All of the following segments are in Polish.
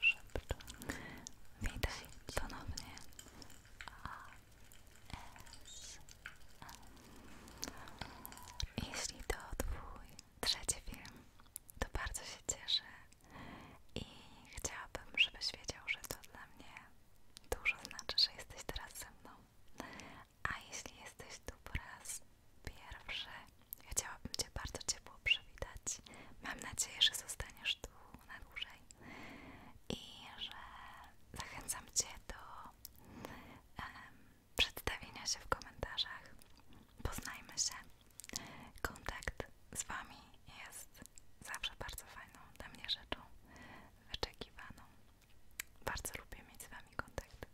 Szepczę. Witaj ponownie. ASM. E, Jeśli to twój trzeci film, to bardzo się cieszę i chciałabym, żebyś wiedział, że to dla mnie dużo znaczy, że jesteś teraz ze mną. A jeśli jesteś tu po raz pierwszy, chciałabym Cię bardzo ciepło przywitać. Mam nadzieję, że zostaniesz tu na dłużej i że zachęcam Cię do przedstawienia się w komentarzach. Poznajmy się. Kontakt z Wami jest zawsze bardzo fajną dla mnie rzeczą, wyczekiwaną. Bardzo lubię mieć z Wami kontakt.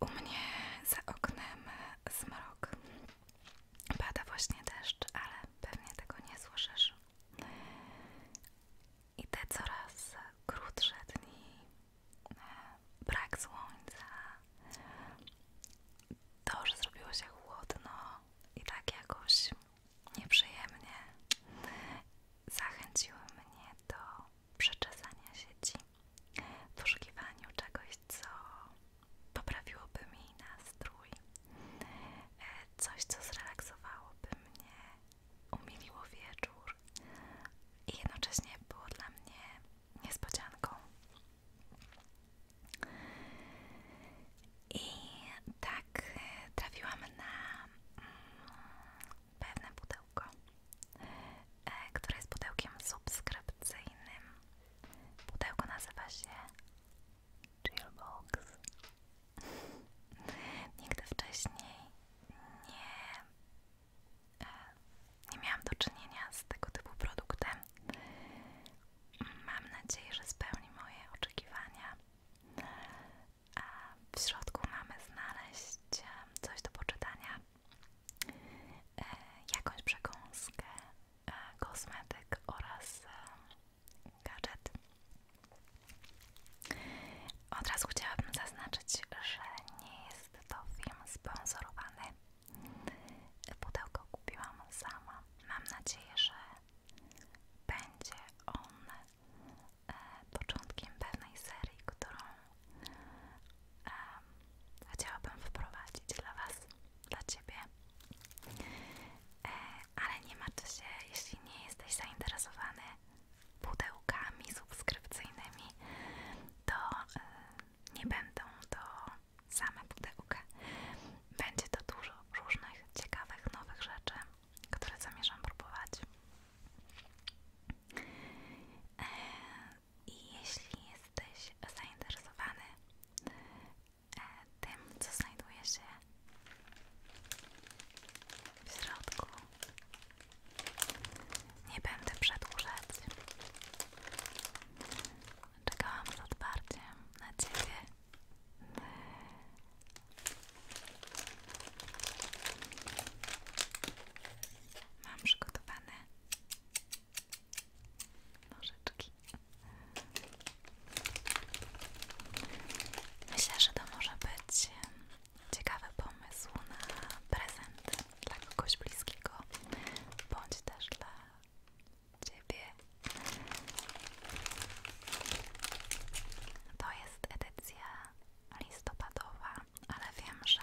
U mnie za oknem zmrok. Pada właśnie deszcz, ale pewnie tego nie słyszysz. I te coraz krótsze dni, e, brak słońca, to, że zrobiło się chłodno i tak jakoś nieprzyjemnie, zachęciły mnie do przeczesania sieci, w poszukiwaniu czegoś, co poprawiłoby mi nastrój, e, coś, co zrelaksowałoby mnie, umiliło wieczór i jednocześnie było dla mnie niespodzianką. I tak e, trafiłam na mm, pewne pudełko pudełko, e, które jest pudełkiem subskrypcyjnym. Pudełko nazywa się Chillbox. Nigdy wcześniej nie, e, nie miałam do czynienia z tego typu produktem. Mam nadzieję, że spełni moje oczekiwania. W środku mamy znaleźć coś do poczytania, e, jakąś przekąskę, e, kosmetyk oraz e, gadżet. Od razu chciałabym zaznaczyć, że nie jest to film sponsorowany. Pudełko kupiłam sama. Mam nadzieję, że będzie on E, początkiem pewnej serii, którą e, chciałabym wprowadzić dla Was, dla Ciebie. E, ale nie martw się, jeśli nie jesteś zainteresowany pudełkami subskrypcyjnymi, to nie będą to same pudełka. Będzie to dużo różnych ciekawych, nowych rzeczy, które zamierzam próbować. E, I jeśli jesteś zainteresowany e, tym, co znajduje się w środku, nie będę przedłużać. Czekałam z otwarciem na Ciebie. Mam przygotowane nożyczki. Myślę, że to może być ciekawy pomysł na prezent dla kogoś bliskiego, bądź też dla Ciebie. To jest edycja listopadowa, ale wiem, że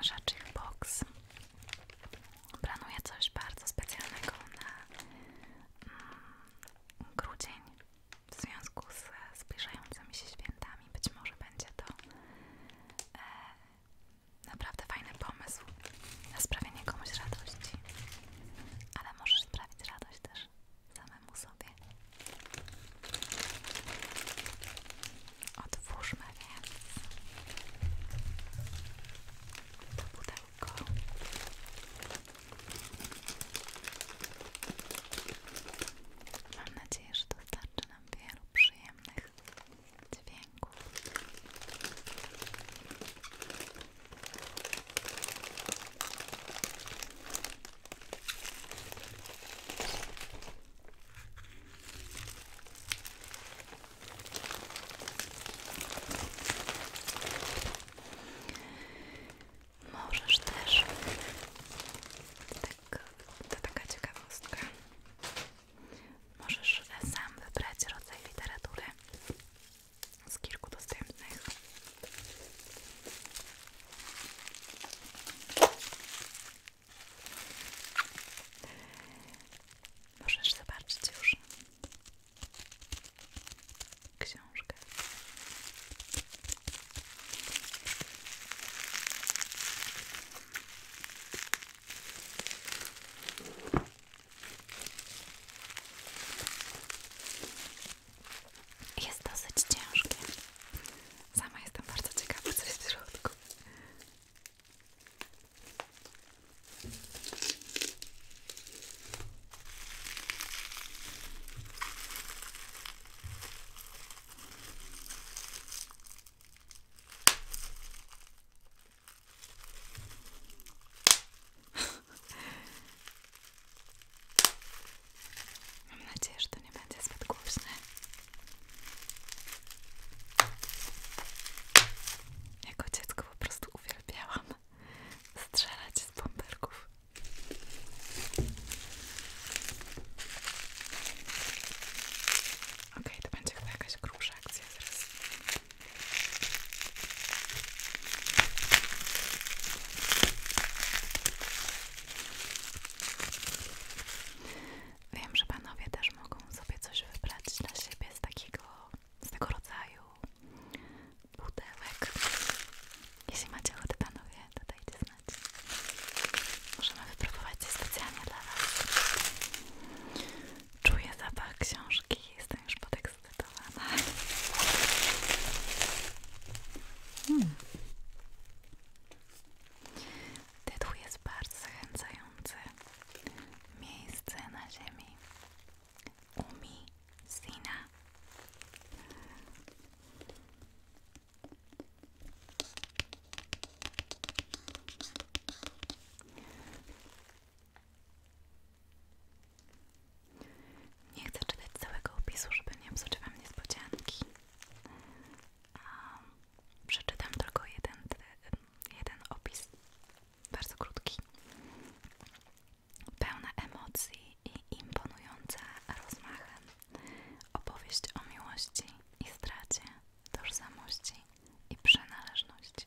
Rzecznik Box planuje coś bardzo specjalnego na mm, grudzień w związku z zbliżającymi się świętami. Być może będzie to e, naprawdę fajny pomysł na sprawienie komuś radości, ale możesz sprawić radość też samemu sobie. Otwórzmy więc to pudełko. Mam nadzieję, że dostarczy nam wielu przyjemnych dźwięków. Możesz też, tak, to taka ciekawostka, możesz sam wybrać rodzaj literatury z kilku dostępnych. Możesz zobaczyć książkę. Jest dosyć ciężkie. Sama jestem bardzo ciekawa, co jest w Mam nadzieję, że to nie będzie zbyt głośne. Jako dziecko po prostu uwielbiałam strzelać z bąbelków. Ok, to będzie chyba jakaś grubsza akcja zaraz. Wiem, że panowie też mogą sobie coś wybrać dla siebie z takiego, z tego rodzaju butelek. Jeśli macie ochotę panowie, to dajcie znać. Możemy wypróbować je specjalnie dla was. Czuję zapach książki, jestem już podekscytowana mama. jest bardzo zachęcający. Miejsce na ziemi. Umi nie chcę czytać całego opisu, żeby nie psuć wam niespodzianki. przeczytam tylko jeden, jeden opis, bardzo krótki. Pełna emocji i imponująca rozmachem. Opowieść o miłości i stracie, tożsamości i przynależności.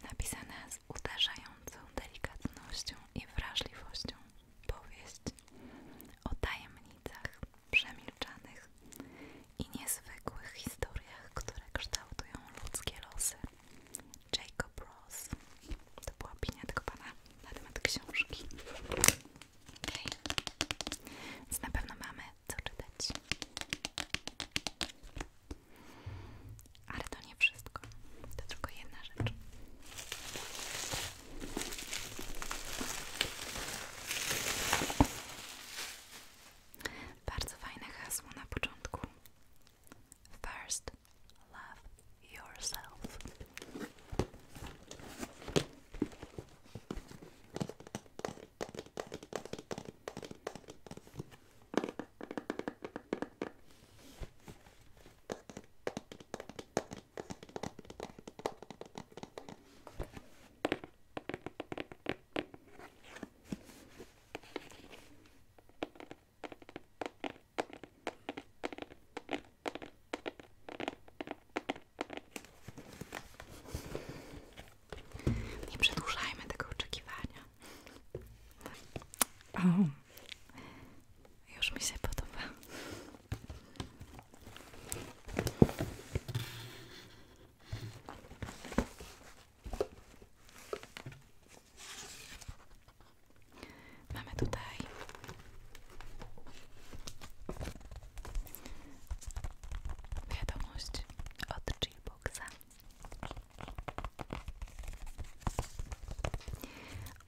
napisana z uderzającą delikatnością i wrażliwością powieść o tajemnicach przemilczanych i niezwykłych historiach, które kształtują ludzkie losy. Jacob Ross. To była opinia tego pana na temat książki. Okay. Więc na pewno mamy co czytać. Ale to nie wszystko. To tylko jedna rzecz. Bardzo fajne hasło na początku. First, love yourself. Nie przedłużajmy tego oczekiwania. O, już mi się podoba. Mamy tutaj wiadomość od G-Boxa.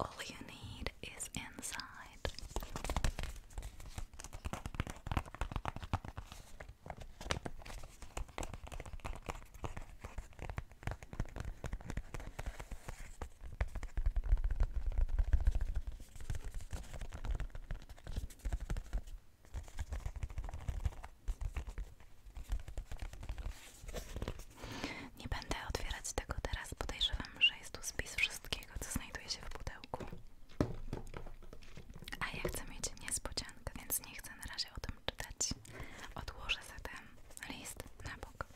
All you need is inside. Nie będę otwierać tego teraz, podejrzewam, że jest tu spis wszystkiego, co znajduje się w pudełku. A ja chcę mieć niespodziankę, więc nie chcę na razie o tym czytać. Odłożę zatem list na bok.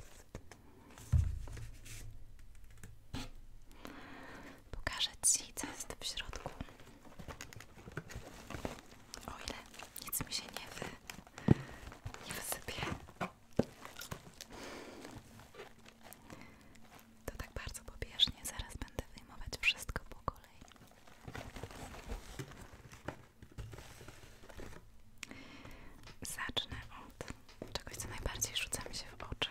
Pokażę Ci, co jest w środku. O ile nic mi się nie nie wysypię. To tak bardzo pobieżnie, zaraz będę wyjmować wszystko po kolei. Zacznę od czegoś, co najbardziej rzuca mi się w oczy.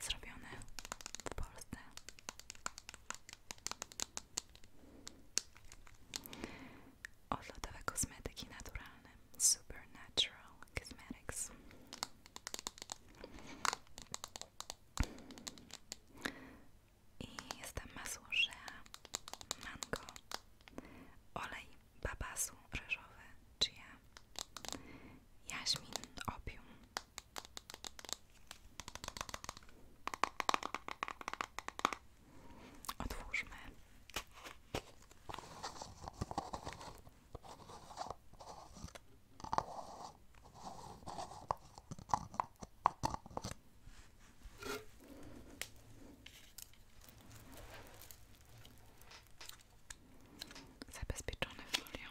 zrobione w Polsce. Odlotowe kosmetyki naturalne Supernatural Cosmetics. I jestem tam masło rzea, mango, olej babasu ryżowy, chia, jaśmin, opium, Otwórzmy. Zabezpieczony folią.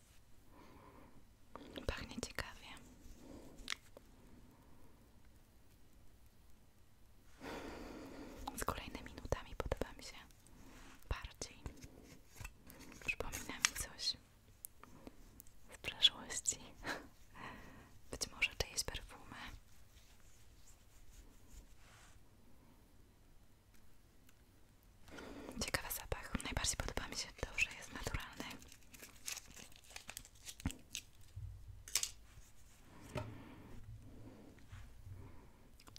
Pachnie ciekawie. Z kolejnymi nutami podoba mi się bardziej. Przypomina mi coś z przeszłości. Być może czyjeś perfumy. Ciekawy zapach. Najbardziej podoba mi się to, że jest naturalny.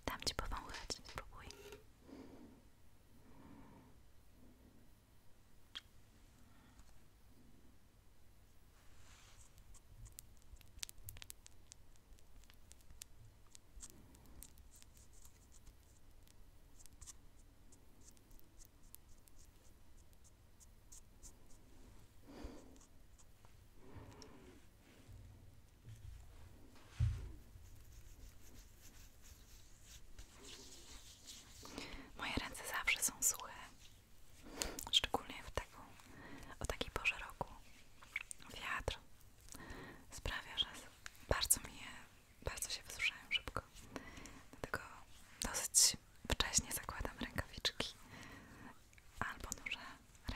Dam ci powąchać, spróbuj. Moje ręce zawsze są suche, szczególnie w taką, o takiej porze roku. Wiatr sprawia, że bardzo mi je bardzo się wysuszają szybko. Dlatego dosyć wcześnie zakładam rękawiczki albo duże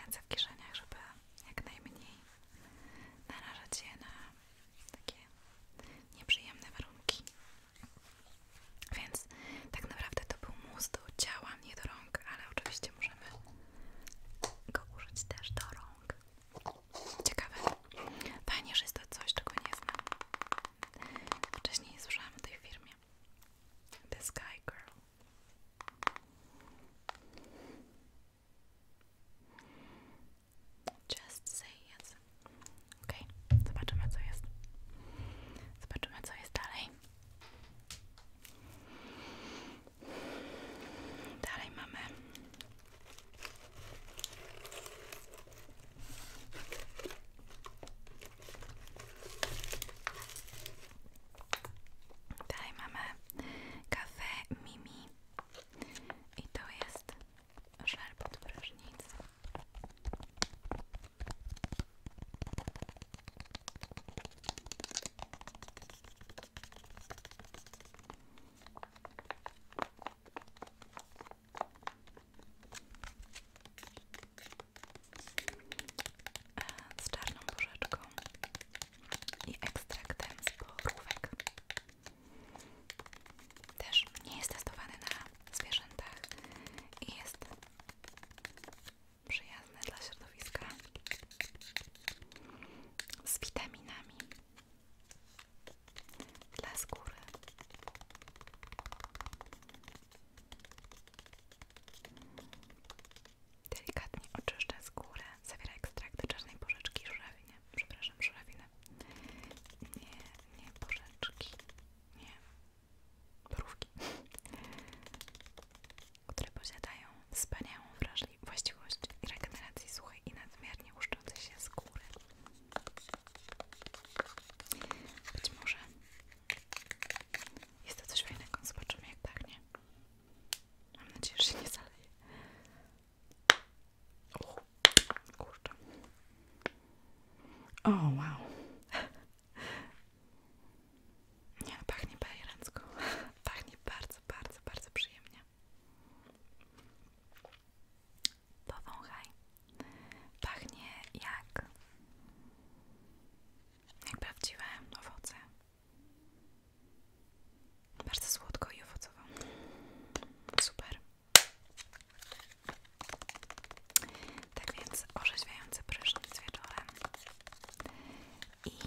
ręce w kieszeniach, żeby jak najmniej narażać je na takie nieprzyjemne warunki. Więc tak naprawdę to był mus do ciała, nie do rąk, ale oczywiście możemy go użyć też do rąk. Ciekawe. Fajnie, że jest to coś, czego nie znam. Wcześniej słyszałam o tej firmy, The Sky Girl. Just say yes. Okej, okay. zobaczymy co jest. Zobaczymy co jest dalej. Dalej mamy Dalej mamy kawę Mimi i to jest żel pod z czarną porzeczką i ekstraktem z porówek. Też nie jest testowany na zwierzętach i jest przyjazny dla środowiska z witaminami dla skóry. Delikatnie oczyszczę skórę. Zawiera ekstrakt czarnej porzeczki żurawiny. Przepraszam, żurawiny. Nie, nie porzeczki. Nie. Borówki. Które posiadają wspaniałą wrażliwość właściwości regeneracji suchej i nadmiernie łuszczącej się skóry. Być może jest to coś fajnego, zobaczymy jak pachnie. Mam nadzieję, że się nie zaleje. O, kurczę. O, wow. Nie, no, pachnie bajeransko. Pachnie bardzo, bardzo, bardzo przyjemnie. Powąchaj. Pachnie jak prawdziwe owoce. Bardzo słodko i owocowo. Super. Tak więc orzeźwiający prysznic wieczorem i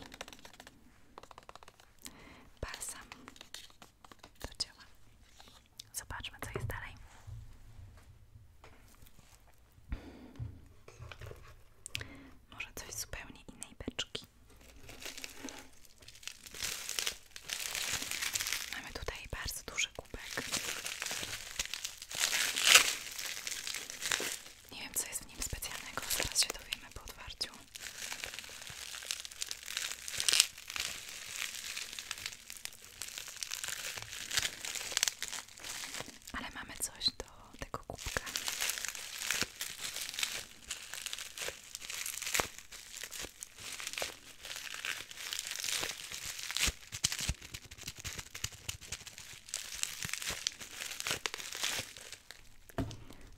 balsam to działa. Zobaczmy, co jest dalej. Może coś zupełnie innej beczki. Mamy tutaj bardzo duży kubek. Nie wiem, co jest w nim specjalnego, zaraz się dowiemy po otwarciu. Ale mamy coś do tego kubka.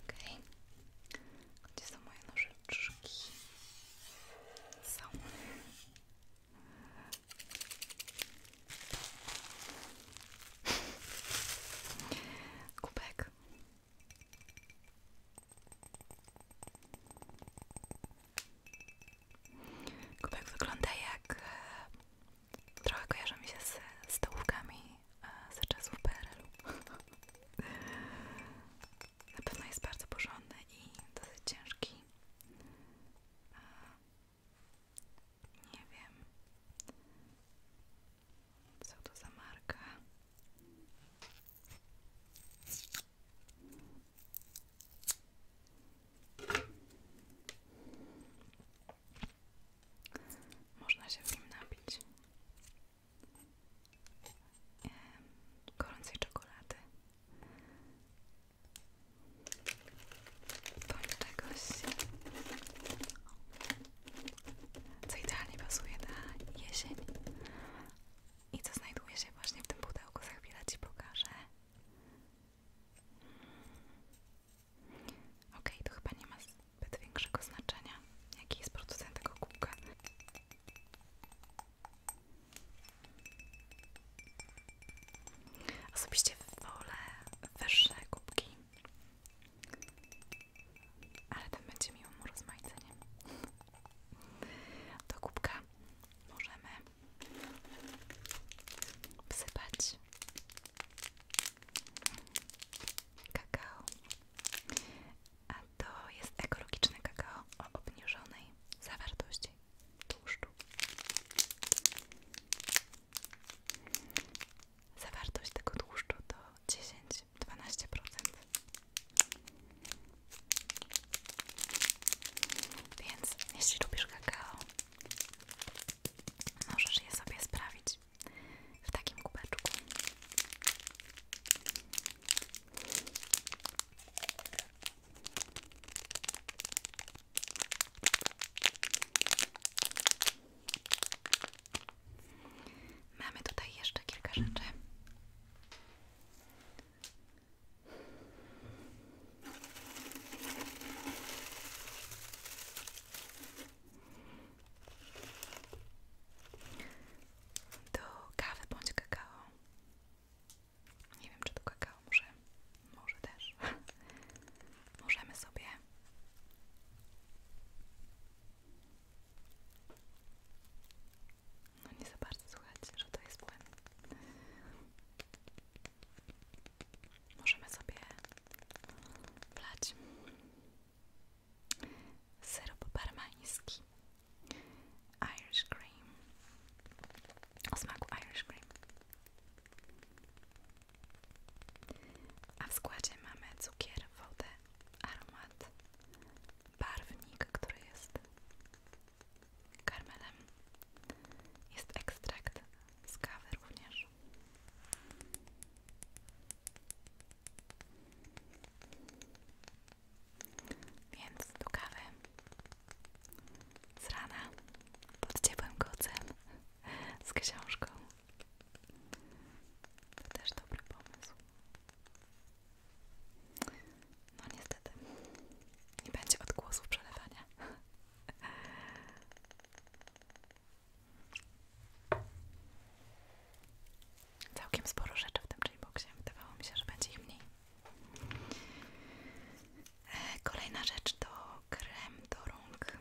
Okej, okay. gdzie są moje noże? nożyczki są. Kubek. Kubek wygląda jak... E, trochę kojarzy mi się z stołówkami E, za czasów PRL-u. Na jest bardzo porządny i dosyć ciężki. E, nie wiem, co to za marka. Można się w nim napić gorącej czekolady bądź czegoś, co idealnie pasuje na jesień i co znajduje się właśnie w tym pudełku, za chwilę Ci pokażę. Okej, okay, to chyba nie ma bez większego znaczenia, jaki jest producent tego kubka. Osobiście wolę wyższe kubki, ale ten będzie miłym urozmaiceniem. To kubka możemy wsypać kakao a to jest ekologiczne kakao o obniżonej zawartości tłuszczu. Zawartość tego tłuszczu to 10-12%. Więc jeśli lubisz kakao, możesz je sobie sprawić zrobić w takim kubeczku. Mamy tutaj jeszcze kilka rzeczy do kawy bądź kakao. Nie wiem, czy to kakao może. Może też. Możemy sobie no nie za bardzo słuchajcie, że to jest płyn. Możemy sobie wlać syrop barmański Irish Cream o smaku Irish Cream a w składzie mamy cukier, wodę, aromat barwnik, który jest karmelem jest ekstrakt z kawy również więc do kawy z rana pod ciepłym kocem z książką. To też dobry pomysł. No niestety, nie będzie odgłosu przelewania. Całkiem sporo rzeczy w tym J-boxie. Wydawało mi się, że będzie ich mniej. E, kolejna rzecz to krem do rąk.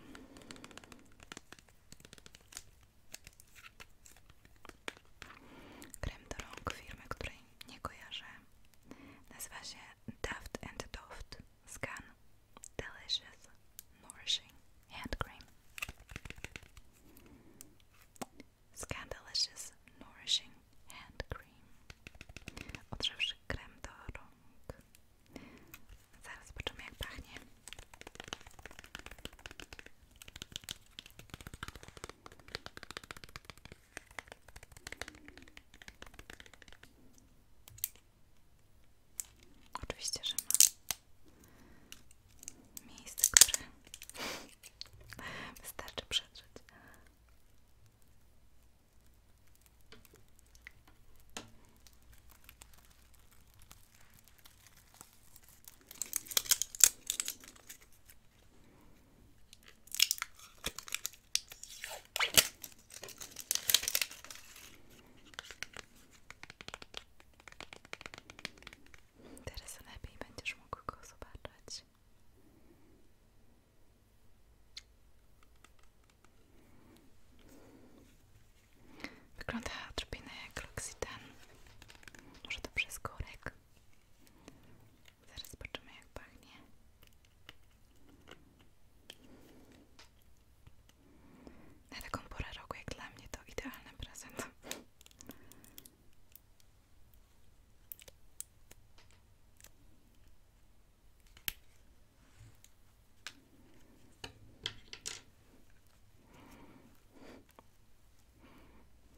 Krem do rąk firmy, której nie kojarzę. Nazywa się Daft and Doft Scan Delicious Nourishing hand cream. Scandalicious Nourishing handcream, Cream. Odżywszy krem do rąk. Zaraz zobaczymy jak pachnie. Oczywiście, ma miejsce, które wystarczy przetrzeć. Teraz lepiej będziesz mógł go zobaczyć. Wygląda odrobinę jak L'Occitane. Może to przez korek. Zaraz zobaczymy jak pachnie. Na taką porę roku jak dla mnie to idealny prezent.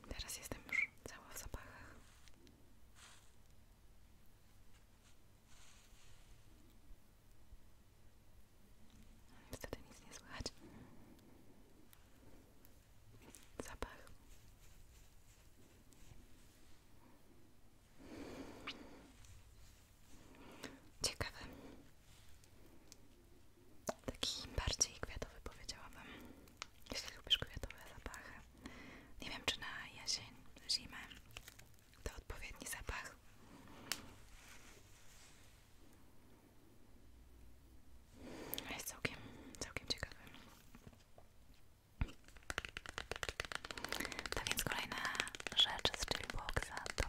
Teraz jestem już cała w zapachach. Wtedy nic nie słychać. Zapach. Ciekawy. Taki bardziej kwiatowy powiedziałabym. Jeśli lubisz kwiatowe zapachy. Nie wiem czy na jesień, zimę to odpowiedni zapach. Jest całkiem, całkiem ciekawy. Tak więc kolejna rzecz z Chillboxa to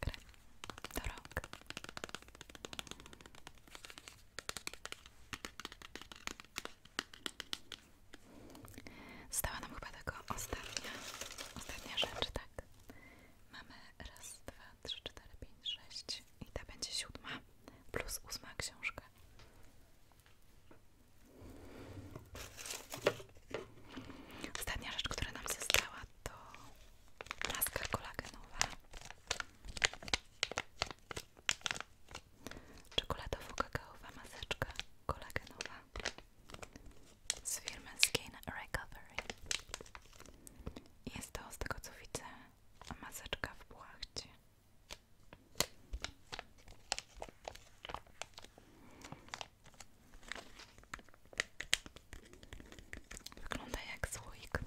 krem Stała nam chyba taka ostatnia, ostatnia rzecz, tak? Mamy raz, dwa, trzy, cztery, pięć, sześć i ta będzie siódma plus ósma książka. Ostatnia rzecz, która nam została to laska kolagenowa. Czekoladowo-kakaowa maseczka kolagenowa z firmy Skin Recovery. Jest to, z tego co widzę, maseczka w płachcie. Wygląda jak słoik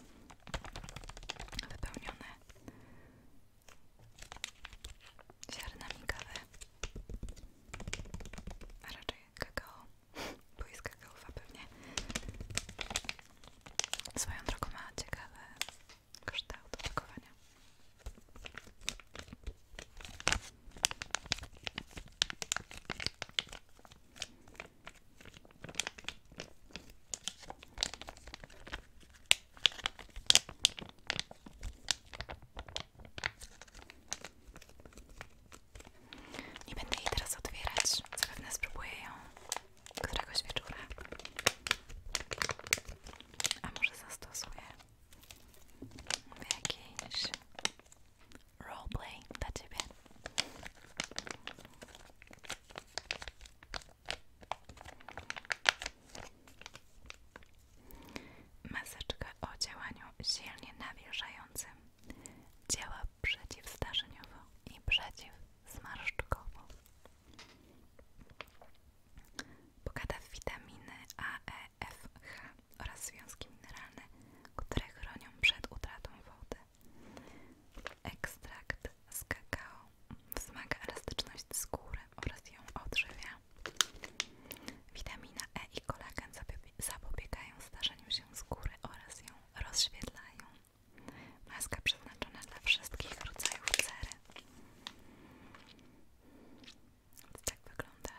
wypełniony ziarnami kawy, a raczej kakao bo jest kakaowa pewnie. Swoją drogą ma ciekawe kształt opakowania. Nie będę jej teraz otwierać, zapewne spróbuję ją któregoś wieczora. A może zastosuję jakiś roleplay dla ciebie. Maseczka o działaniu silnie nawilżającym Działa przeciwstarzeniowo i przeciwzmarszczkowo. Bogata w witaminy A, E, F, H oraz związki mineralne, które chronią przed utratą wody. Ekstrakt z kakao wzmaga elastyczność skóry oraz ją odżywia. Witamina E i kolagen zapobiegają starzeniu się skóry oraz ją rozświetlają. Maska przeznaczona dla wszystkich rodzajów cery. tak wygląda.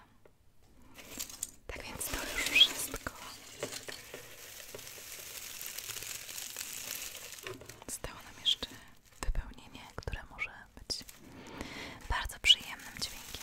Tak więc to już wszystko. Zostało nam jeszcze wypełnienie, które może być bardzo przyjemnym dźwiękiem.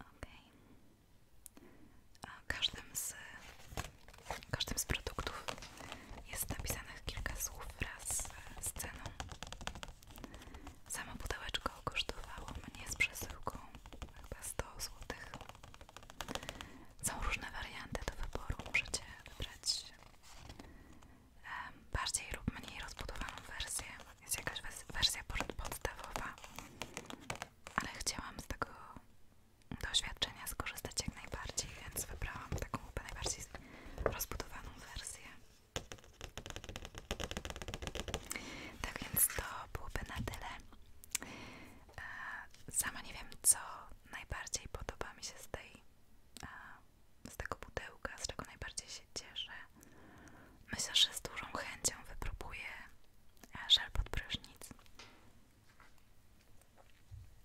Ok. A każdym z, każdym z produktów jest napisanych kilka słów wraz z ceną. Samo pudełeczko kosztowało mnie z przesyłką chyba 100 zł. Są różne warianty do wyboru, możecie wybrać bardziej lub mniej rozbudowaną wersję. Jest jakaś wersja podstawowa, ale chciałam z tego doświadczenia skorzystać jak najbardziej, więc wybrałam taką najbardziej rozbudowaną wersję. Tak więc to byłby na tyle. E, sama nie wiem, co najbardziej podoba mi się z tej z tego pudełka, z czego najbardziej się cieszę. Myślę, że z dużą chęcią wypróbuję e, żel pod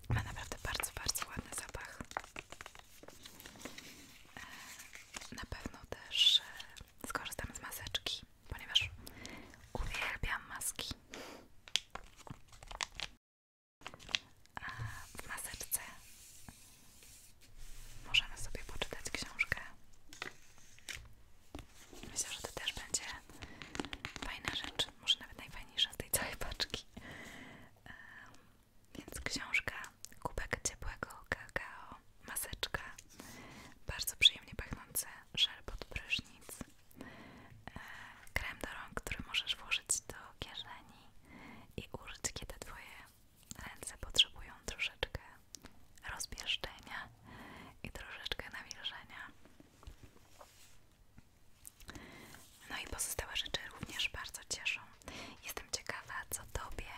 Ma naprawdę bardzo, bardzo ładny zapach. E, na pewno też e, skorzystam z maseczki, ponieważ uwielbiam maski. A w maseczce możemy sobie poczytać książkę. Myślę, że to też będzie fajna rzecz, może nawet najfajniejsza z tej całej paczki. więc książka, kubek ciepłego kakao, maseczka, bardzo przyjemnie pachnące żel pod prysznic, e, krem do rąk, który możesz włożyć do kieszeni i użyć, kiedy twoje ręce potrzebują troszeczkę rozpieszczenia i troszeczkę nawilżenia. No i pozostałe rzeczy również bardzo cieszą. Jestem ciekawa, co Tobie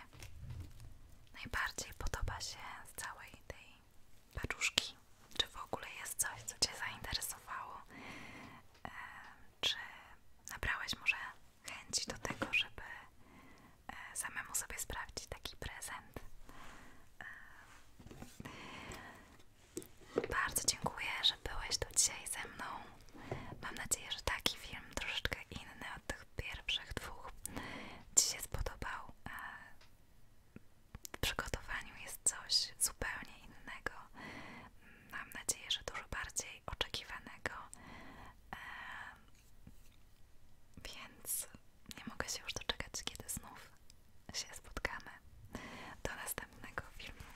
najbardziej podoba się z całej tej paczuszki. Czy w ogóle jest coś, co Cię zainteresowało? E, czy nabrałaś może chęci do tego, żeby e, samemu sobie sprawdzić taki prezent. E, bardzo dziękuję, że byłeś tu dzisiaj ze mną. Mam nadzieję, że taki film, troszeczkę inny od tych pierwszych dwóch, Dzisiaj spodobał. E, w przygotowaniu jest coś zupełnie innego. Mam nadzieję, że dużo bardziej oczekiwanego. Więc nie mogę się już doczekać, kiedy znów się spotkamy. Do następnego filmu.